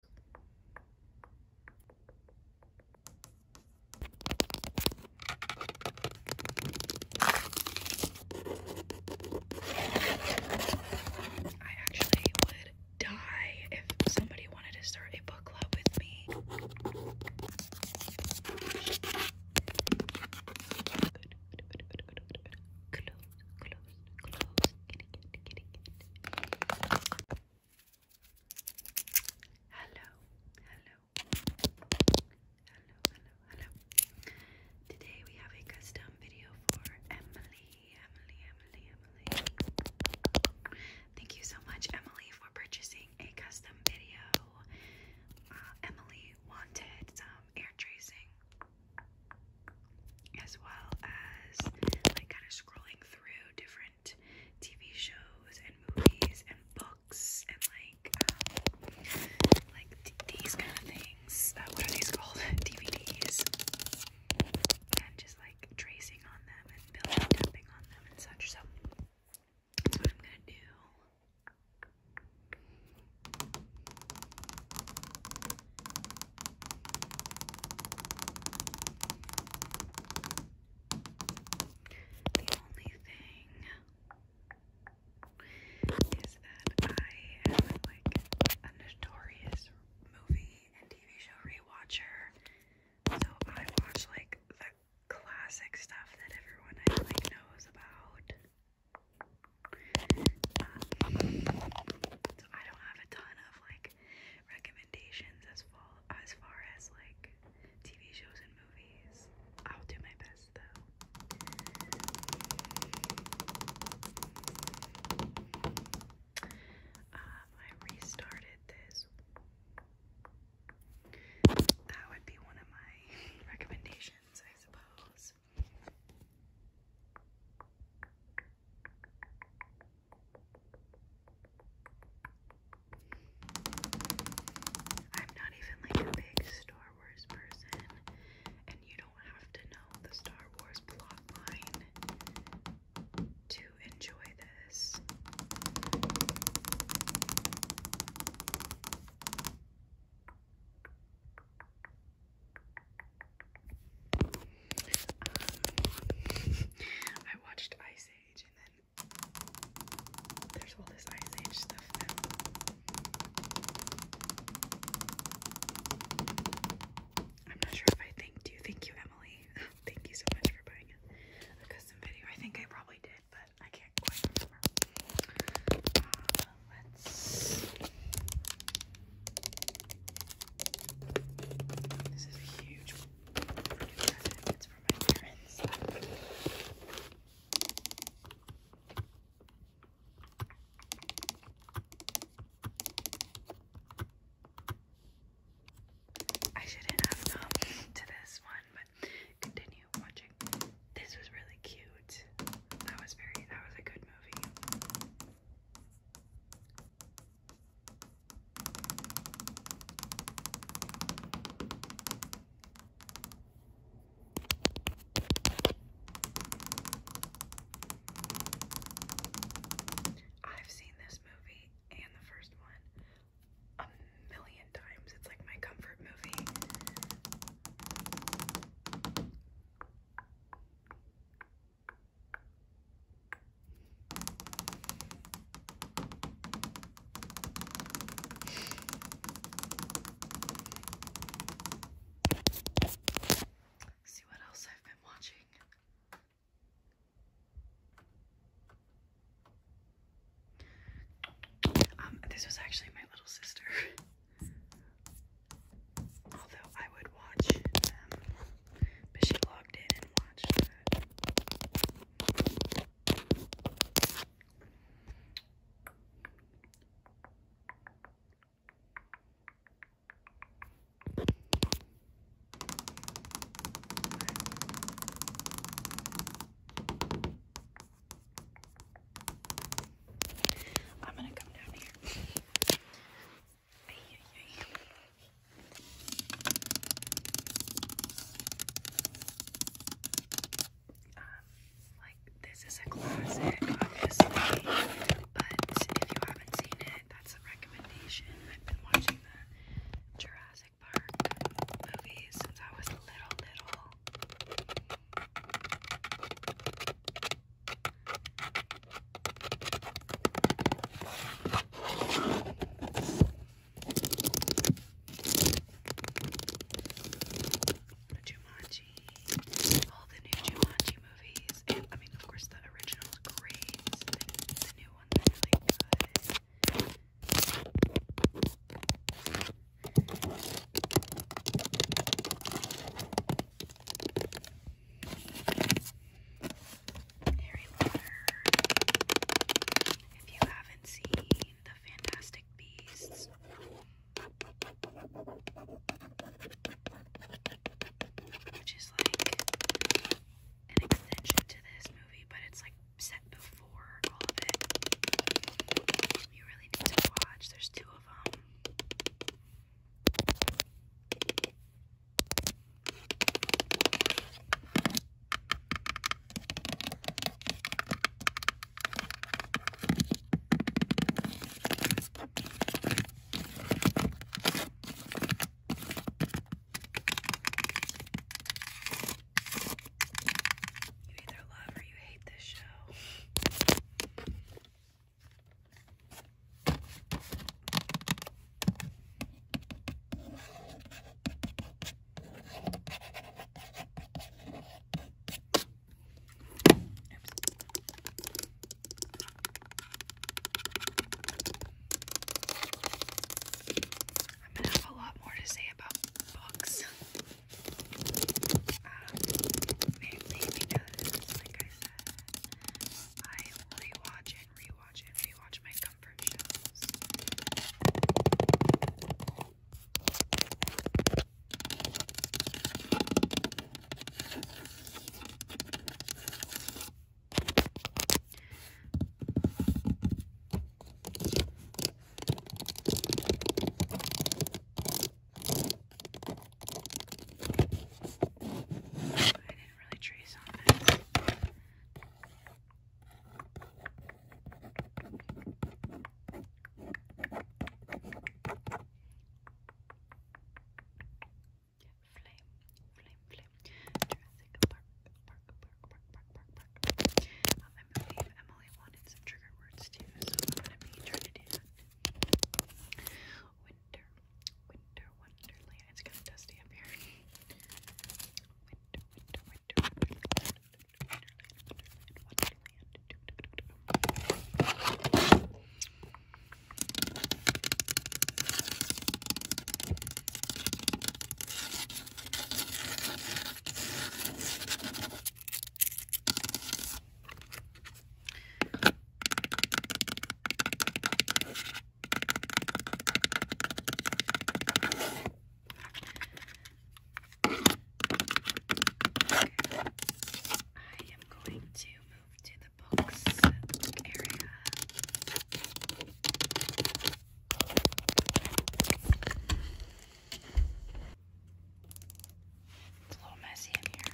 I actually would die if somebody wanted to start a book club with me. Hello, hello, hello, hello, hello. Today we have a custom video for Emily, Emily, Emily, Emily. Thank you so much, Emily, for purchasing a custom video. Uh, Emily wanted some air tracing as well as like kind of scrolling through different TV shows and movies and books and like um, like these kind of things. Uh, what are these called? DVDs. And just like tracing on them and building tapping on them and such. So that's what I'm gonna do. The only thing is that I am like a notorious movie and TV show rewatcher. So I watch like the classic stuff that everyone like knows about. Um, so I don't have a ton of like recommendations as far as like TV shows and movies. I'll do my best though. Um, I restarted this. That would be one of my recommendations, I suppose. I'm not even like a big Star Wars person, and you don't have to know the Star Wars plot line to enjoy this. I watched Ice Age and then there's all this Ice Age stuff I'm not sure if I thanked you. Thank you, Emily. Thank you so much for buying a custom video. I think I probably did, but I can't quite remember. Uh, let's. This is huge It's from my parents. I shouldn't have come to this one, but continue watching. This was really cute. That was very that was a good movie. I've seen this movie and the first one a million times. It's like my comfort movie see what else I've been watching. Um, this was actually my little sister. Although I would watch um, but she logged in and watched that. I'm gonna come down here. Um, like this is a classic, obviously, but if you haven't seen it, that's a recommendation. I've been watching the Jurassic Park movies since I was little, little. Jumanji, all the new Jumanji movies, I mean, of course, the original's great, the new ones are really good. Harry Potter. If you haven't seen the Fantastic Beasts, which is like an extension to this movie, but it's like set before all of it. You really need to watch. There's two of them either love or you hate this show. I'm gonna have a lot more to say about books. Um, mainly because, like I said, I rewatch and rewatch and rewatch my comfort shows. I really trace on it winter, winter wonderland. It's kind of dusty up here. Winter, winter, winter, wonderland, wonderland, wonderland, wonderland. I am going to move to the books area. It's a little messy in here.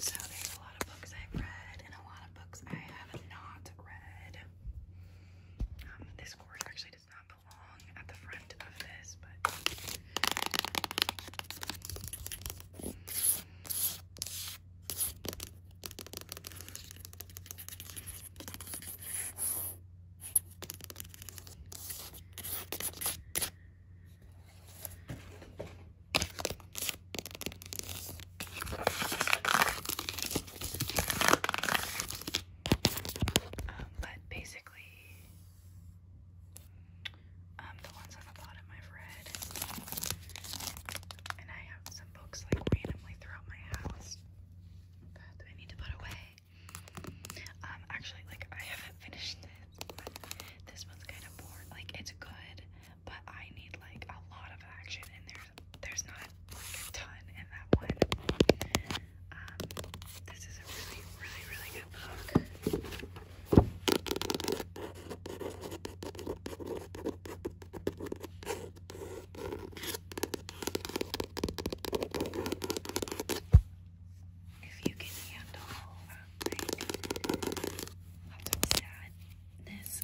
So there's a lot of books I've read and a lot of books I have not read. Um, this cord actually does not belong at the front of this, but um, but basically, um, the ones on the bottom I've read, and I have some books like randomly throughout my house that I need to put away. Um, actually, like I haven't finished this this one's kind of boring. Like it's good, but I need like a lot of action, and there's there's not like a ton in that one. Um, this is a really really really good book. if you can handle my laptop sadness.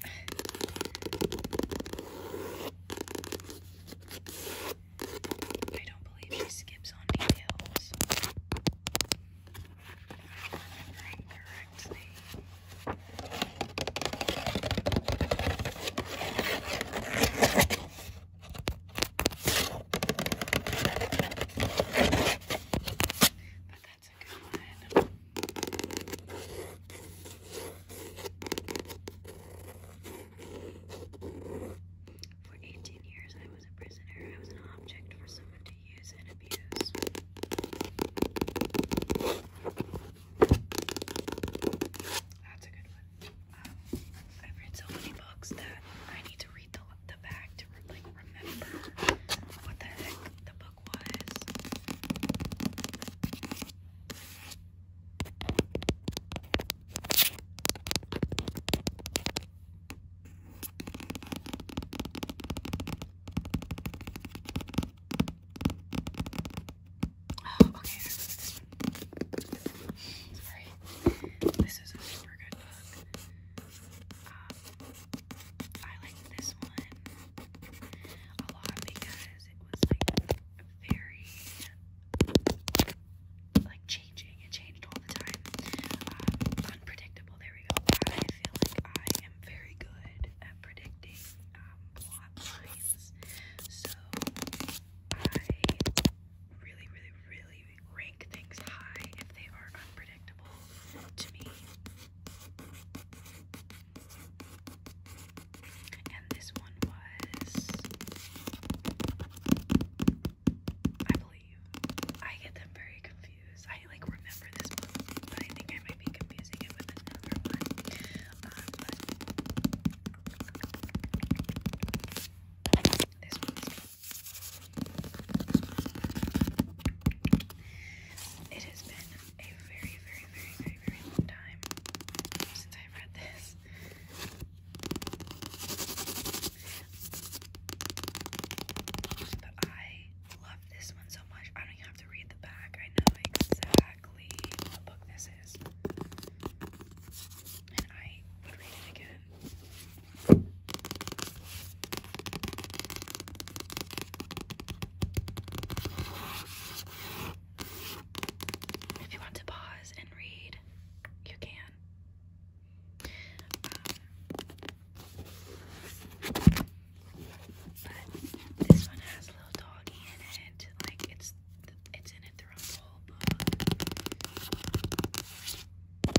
I don't believe she skips on details. Correctly. For 18 years, I was a prisoner. I was an object for someone to use and abuse. That's a good one. Um, I've read so many books that I need to read the, back to like remember what the heck the book was. Oh, okay. This one. All right. This is a super good book. I liked this one a lot because it was like very like changing. It changed all the time. Um, unpredictable. There we go. I feel like I am very good at predicting um, plot lines. So I really, really, really things high if they are unpredictable to me. And this one was, I believe, I get them very confused. I like remember this one, but I think I might be confusing it with another one. Uh, it has been a very, very, very, very, very long time since i read this. But I love this one so much. I don't even have to read the back. I know exactly what book this is. And I would read it again. If you want to pause and read, you can. Um, but this one has a little doggy in it. Like it's it's in it throughout the whole book. This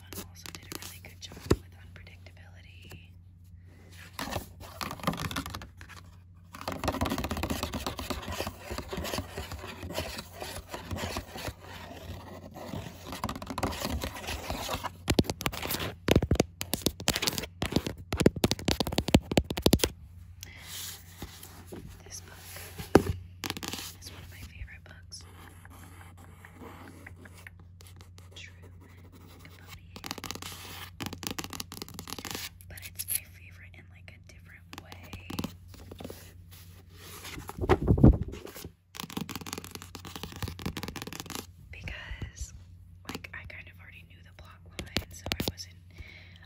one also did a really good job with unpredictability. This book is one of my favorite books. Truman But it's my favorite in like a different way. Because like I kind of already knew the plot so I wasn't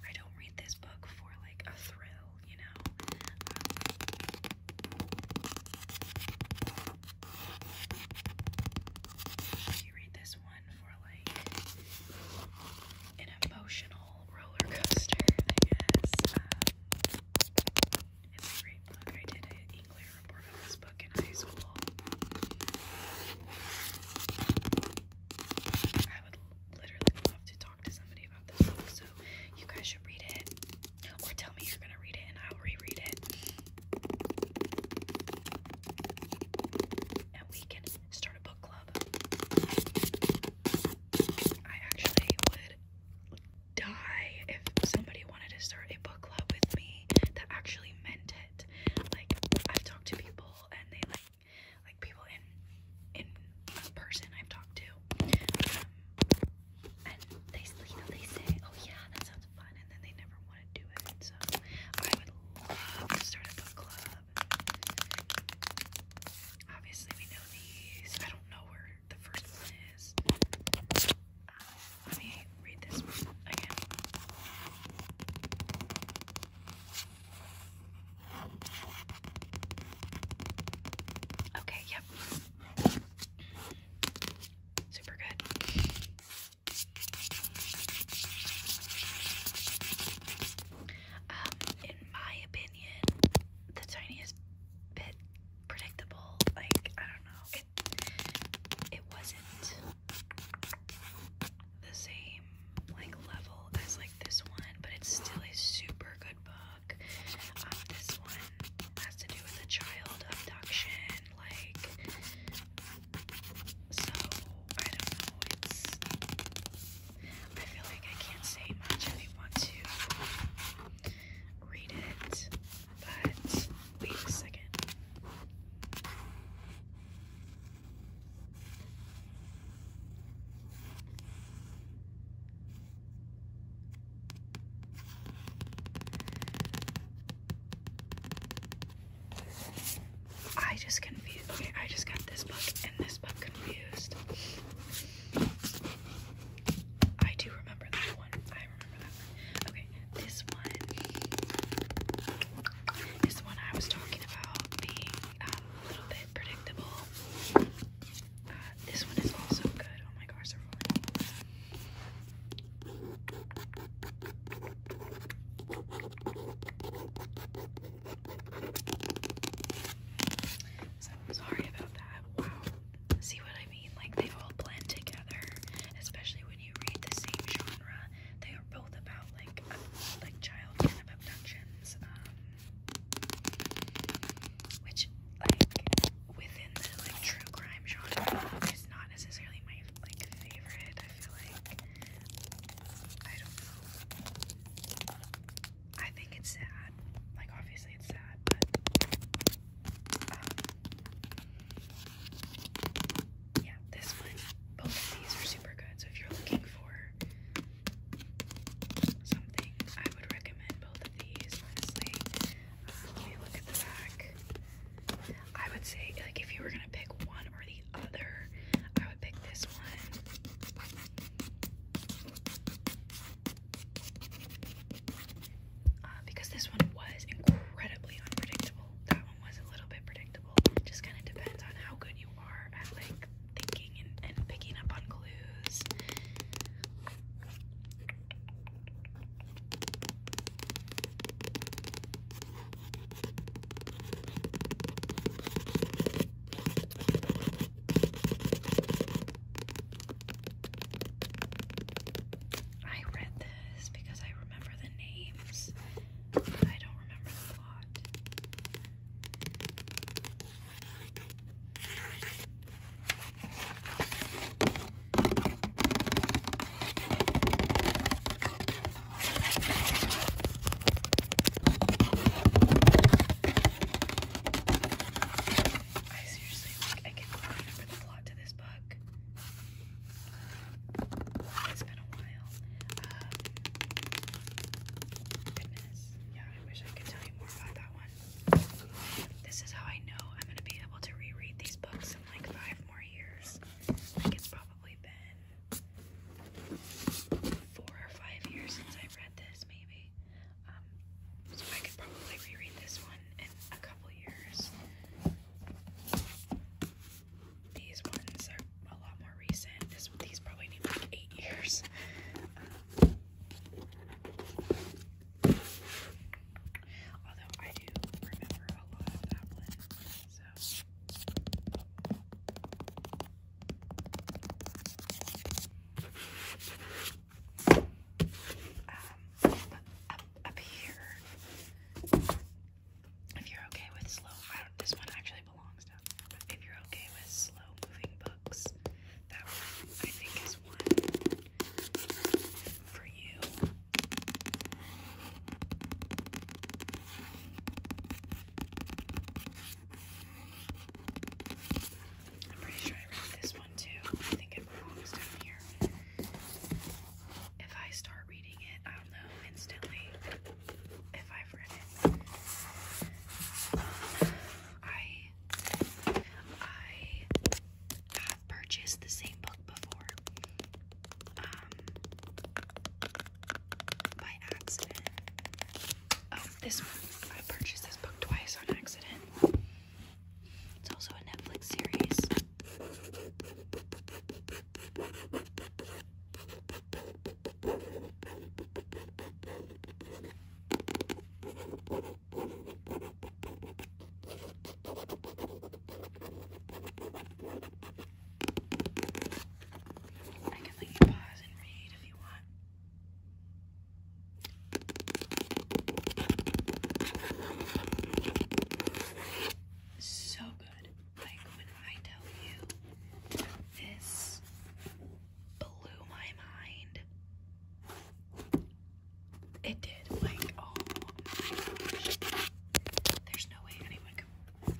I don't read this book for like a thrill cool, you know. Um, you read this one for like an emotional roller coaster, I guess. Um, it's a great book. I did an English report on this book in high school. I would literally love to talk to somebody about this book, so you guys should read it. Or tell me you're gonna read it and I'll reread it. And we can start a book club. I actually would die if somebody wanted to start a book club with me that actually meant it. Like, I've talked to people and they like like people in in person I've talked to, um, and they you know they say, oh yeah, that sounds fun, and then they never want to do it. So I would love to start a book club. Obviously, we know these. I don't know where the first one is. Um, let me read this one again. Okay, yep. Super good. Um, in my opinion, the tiniest bit predictable. Like, I don't know. it wasn't the same like level as like this one, but it's still a super good book. Um, this one has to do with a child abduction, like so I don't know, it's I feel like I can't say much if want to read it, but wait a second. I just confused. Okay, I just got this book and this book confused. I do remember that one. I remember that one. Okay, this one This one I was talking about being um, a little bit predictable uh, this one is also good. Oh my gosh, So i sorry about that. Wow. See what I mean? Like they all blend together, especially when you read the same genre. They are both about like uh, like child kind which, like, within the like true crime genre, is not necessarily my like favorite. I feel like I don't know. I think it's sad. Like, obviously, it's sad, but. Um, yeah, this one, both of these are super good. So if you're looking for something. I would recommend both of these, honestly. Um, if look at the back, I would say, like, if you were gonna pick one or the other, I would pick this one. Uh, because this one was incredibly unpredictable. That one was a little bit predictable. Just kind of depends on how good you you are at like thinking and, and picking up on clues. I read this because I remember the names, but I don't remember the plot. I seriously like I can remember the plot to this book. It's been a while. Um, goodness, yeah. I wish I could tell you more about that one. This is how I know I'm going to be able to reread these books in like five more years. Like, it's probably been four or five years since i read this, maybe. Um, so I could probably reread this one in a couple years. These ones are a lot more recent. This, these probably need like eight years. Um, Although I do remember a lot of that so. Um, up, here, if you're okay with slow, this one actually if you're okay with slow moving books, that I think is one for you. I'm pretty sure I read this one too. I think it belongs down here. If I start reading it, I'll know instantly if I've read it. I I have purchased the same book before. Um by accident. Oh, this one. I purchased this book twice on accident. It's also a Netflix series. I can let you pause and read if you want. So good. Like when I tell you this blew my mind. It did. Like, oh my gosh. There's no way anyone could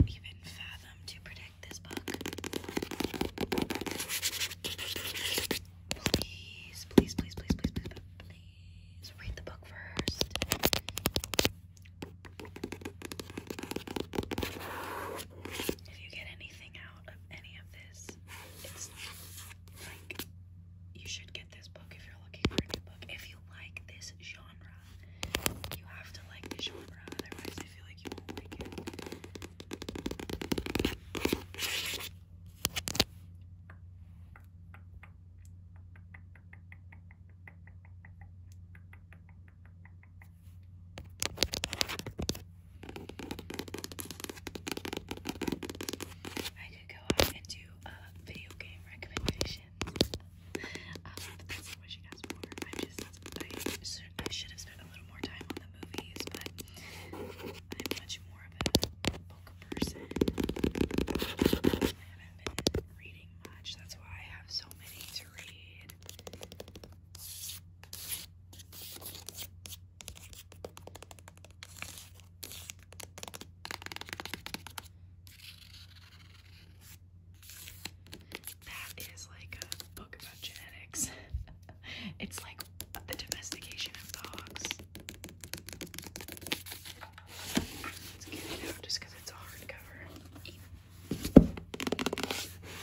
even fathom to predict this book. Please, please, please, please, please, please, please, please read the book first. If you get anything of any of this. It's like you should get this book if you're looking for a new book. If you like this genre, you have to like this genre, otherwise, I feel like you won't like it. I could go out and do a video game recommendations. Um, I'm just, I should have spent a little more time on the movies, but I'm much more of a book person. I haven't been reading much, that's why I have so many to read. That is like a book about genetics. it's like the domestication of dogs. Let's get it out it's a hardcover.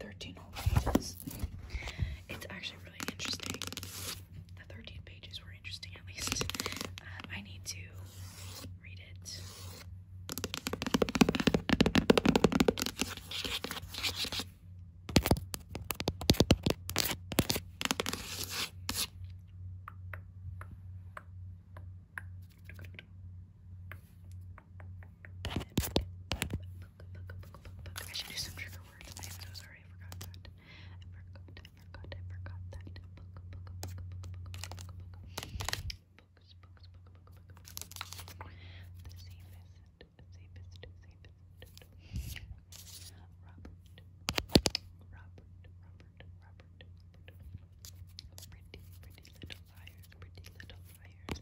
13 whole pages. It's actually really interesting. The 13 pages were interesting, at least. Um, I need to read it. I should do some trigger words. I am so sorry, I forgot that. I forgot, I I forgot that. Books, books, The safest, safest, safest. Robert, Robert, Robert, Robert, Pretty, little liars, pretty little liars.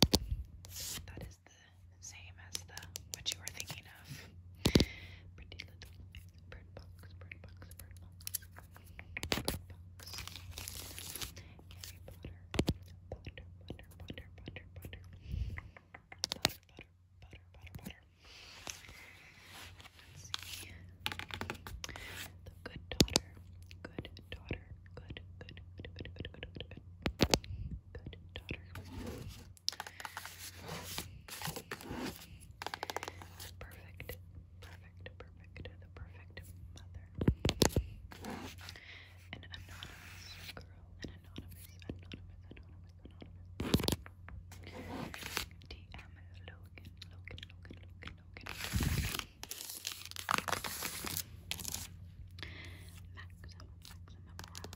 That is the same as the what you were thinking of. Pretty little bird box, bird box, bird box, bird box. Harry Potter, butter, butter, butter, butter, butter, butter, butter, butter, butter, butter. Let's see. The good daughter, good daughter, good, good, good, good, good, good, good, good, good daughter. Perfect, perfect, perfect, the perfect mother. An anonymous girl, an anonymous, anonymous, anonymous, anonymous. DM Logan, Logan, Logan, Logan, Logan. Maximum, maximum,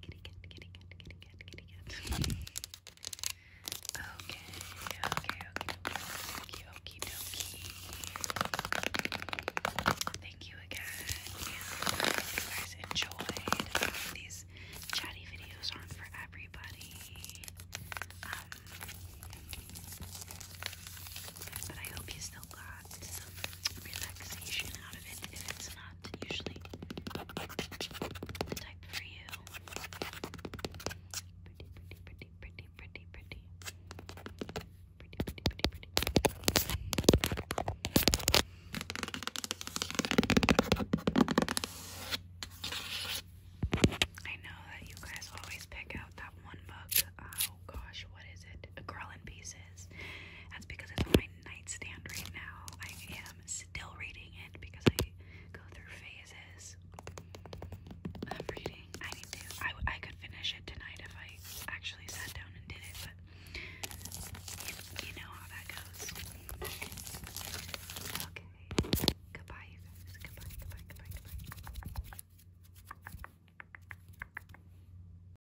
Kitty cat, kitty cat, kitty cat, kitty cat. okay, okay, okay, okie dokie. Thank you again. you guys enjoyed. These chatty videos aren't for everybody. Um, but I hope you still got some relaxation out of it if it's not usually the type for you. Pretty, pretty, pretty, pretty, pretty. Pretty, pretty, pretty, pretty. I know that you guys always pick out that one book. Oh gosh, what is it? A Girl in Pieces. That's because it's on my nightstand right now. I am still reading it because I go through phases of reading. I need to. I, I could finish it tonight if I actually sat down and did it, but you, know how that goes. Goodbye, you guys. Goodbye, goodbye, goodbye, goodbye.